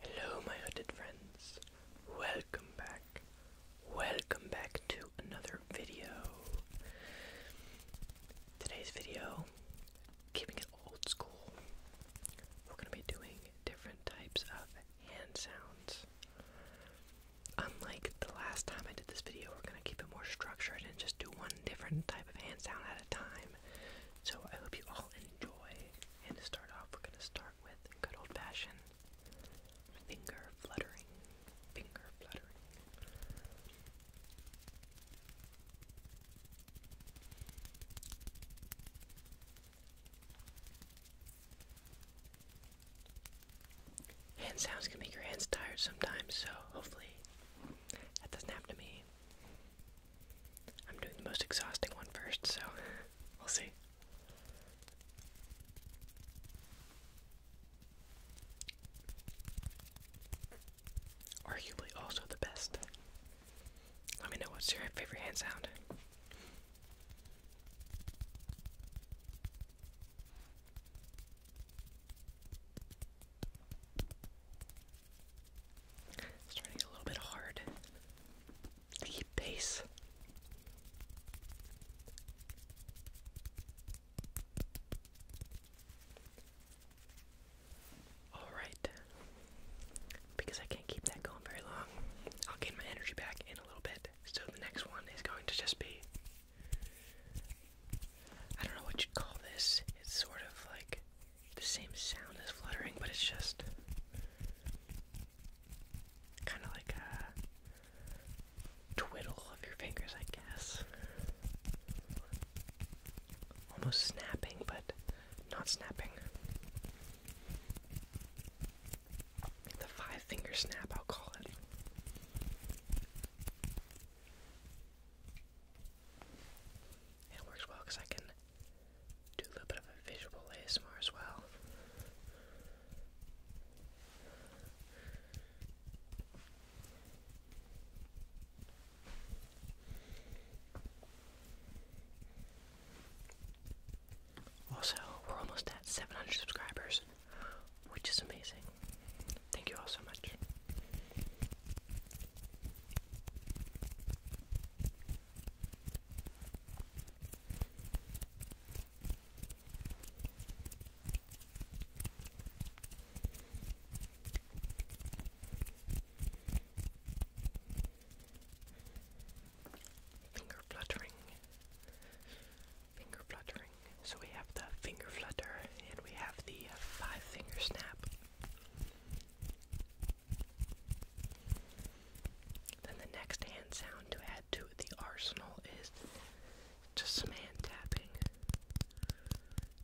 Hello, my hooded friends. Welcome back. Welcome back to another video. Today's video, keeping it old school, we're going to be doing different types of hand sounds. Unlike the last time I did this video, we're going to keep it more structured and just do one different type of hand sound at a time. So I hope you all enjoy. And to start off, we're going to start with good old fashioned finger fluttering. Finger fluttering. Hand sounds can make your hands tired sometimes, so hopefully that doesn't happen to me. I'm doing the most exhausting one first, so we'll see. Arguably also the best. Let me know what's your favorite hand sound. Starting a little bit hard to keep pace. Alright. Because I can't keep that going very long, I'll gain my energy back in a little bit. So the next one is going to just be. I don't know what you'd call this. It's sort of like the same sound as fluttering, but it's just kind of like a twiddle of your fingers, I guess. Almost snapping, but not snapping. The five finger snap, I'll call it it works well because I can do a little bit of a visual ASMR as well. Also, we're almost at 700 subscribers, which is amazing. Thank you all so much. Finger fluttering. Finger fluttering. So we have the finger flutter and we have the uh, five finger snap. Then the next hand sound to add to the arsenal is just hand tapping.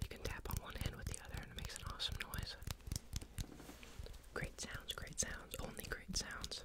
You can tap on one hand with the other and it makes an awesome noise. Great sounds, great sounds, only great sounds.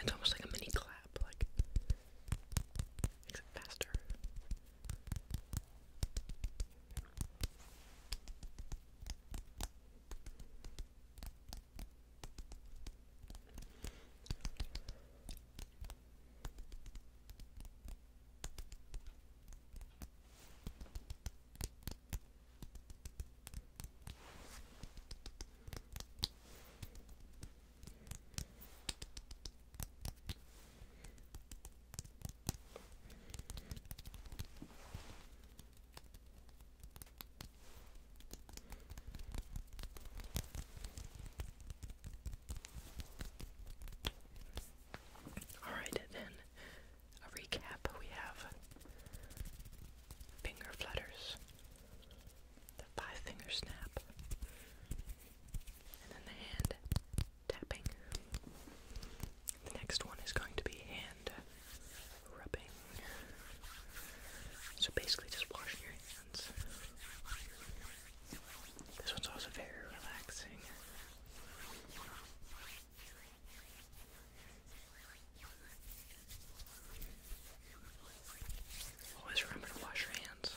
It's almost like a mini clap, like except faster. All right, then a recap, we have finger flutters, the five finger snap, and then the hand tapping. The next one is going to be hand rubbing. So basically, just washing your hands. This one's also very relaxing. Always remember to wash your hands.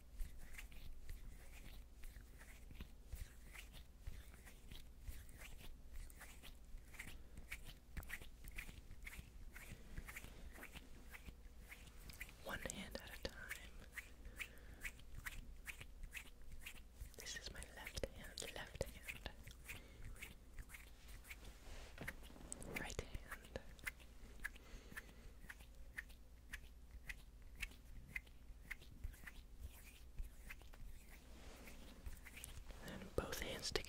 One hand at a time. This is my left hand, left hand. Right hand. And both hands together.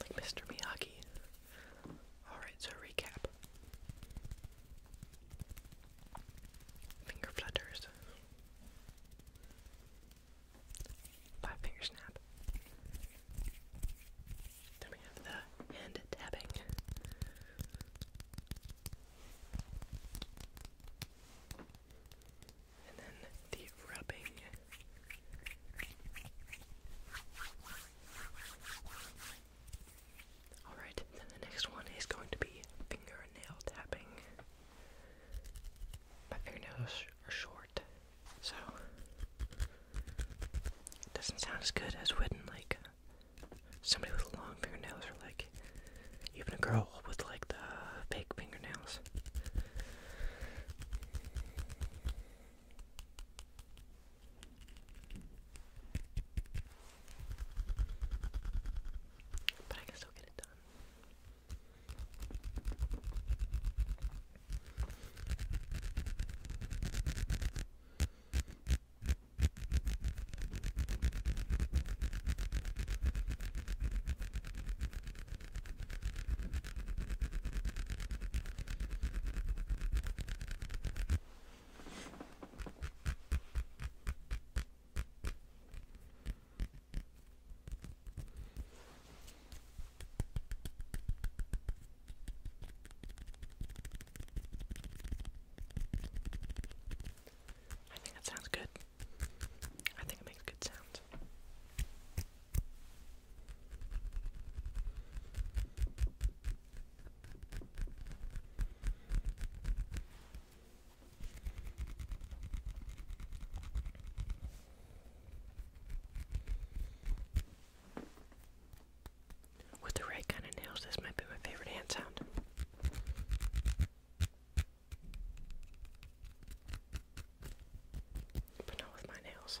Like Mr. Miyagi. Alright, so recap. Finger flutters. Five finger snap. Then we have the hand tapping. And then the rubbing. Alright, then the next one is going to be fingernail tapping. My fingernails are short, so it doesn't sound as good as when like somebody with long fingernails or like even a girl with like the fake fingernails. But I can still get it done. I think that sounds good. I think it makes good sounds. With the right kind of nails, this might be my favorite hand sound. But not with my nails.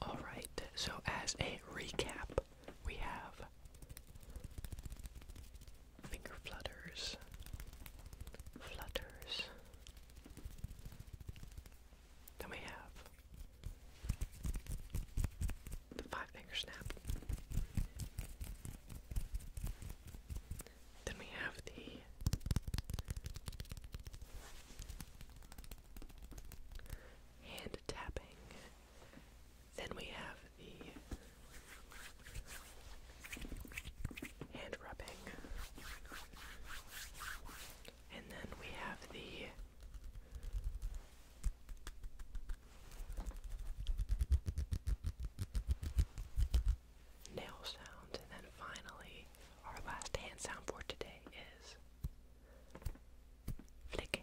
All right, so as a recap, we have Finger flutters. Flutters. Then we have the five finger snap. Then we have the hand tapping. Then we have the hand rubbing. And then we have the nail sound. And then finally, our last hand sound for today is flicking.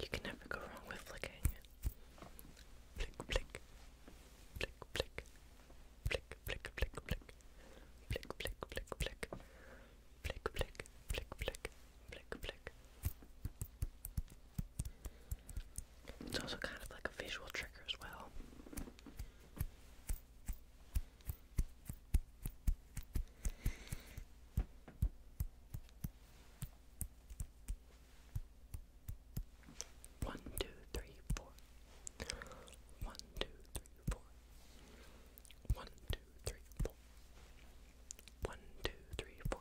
You can never go wrong with flicking. Flick, flick, flick, flick, flick, flick, flick, flick, flick, flick, flick, flick, flick, flick, flick, flick, flick, flick. It's also kind of like a visual trigger as well. One, two, three, four. One, two, three, four. One, two, three, four. One, two, three, four.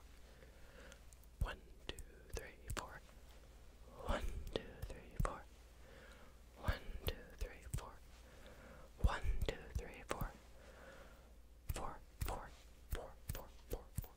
One, two, three, four. One, two, three, four. One, two, three, four. One, two, three, four. Four, four, four, four, four, four.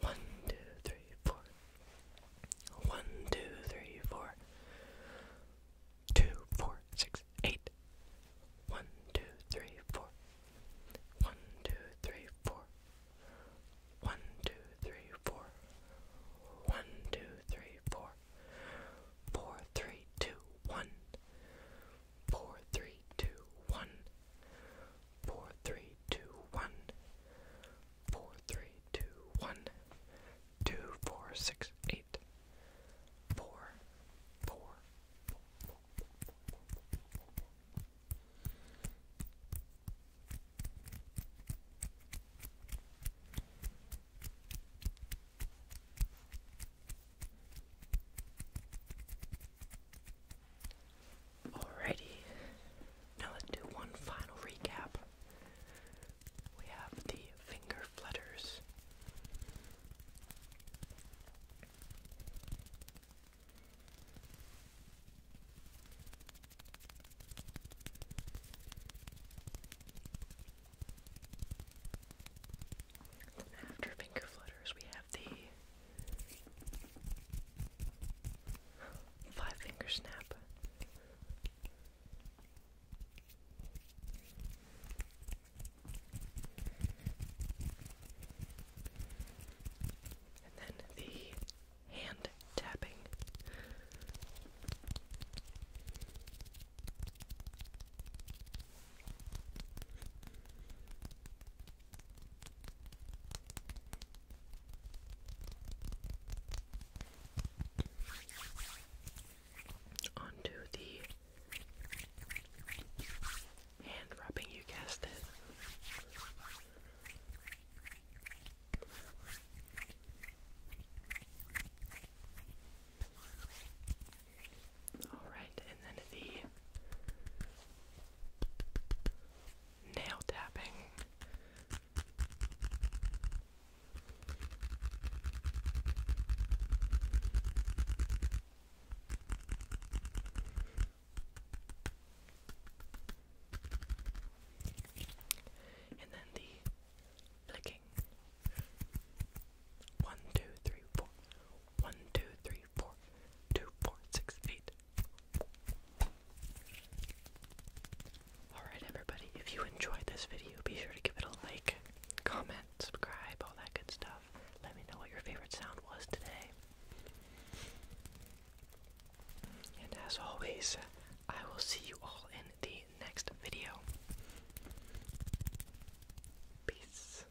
One, two, three, four. One, two, three, four. Two, four, six, eight. One, two, three, four. One, two, three, four. One, two, three, four. One, two, three, four. Four, three, two, one. Four, three, two, one. Four, three, two, one. Four, three, two, one. Two, four, six, eight. Four, four. Four, Alrighty, now let's do one final recap. We have the finger flutters. After finger flutters, we have the Five finger snap. And then the hand tapping. Onto the hand rubbing, you guessed it. Alright, and then the nail tapping. And then the flicking. One, two, three, four. One, two, three, four, two, four, six, eight. Alright, everybody, if you enjoyed this video, be sure to give it a like, comment, subscribe, all that good stuff. Let me know what your favorite sound was today. And as always, I will see you all in the next video. Peace.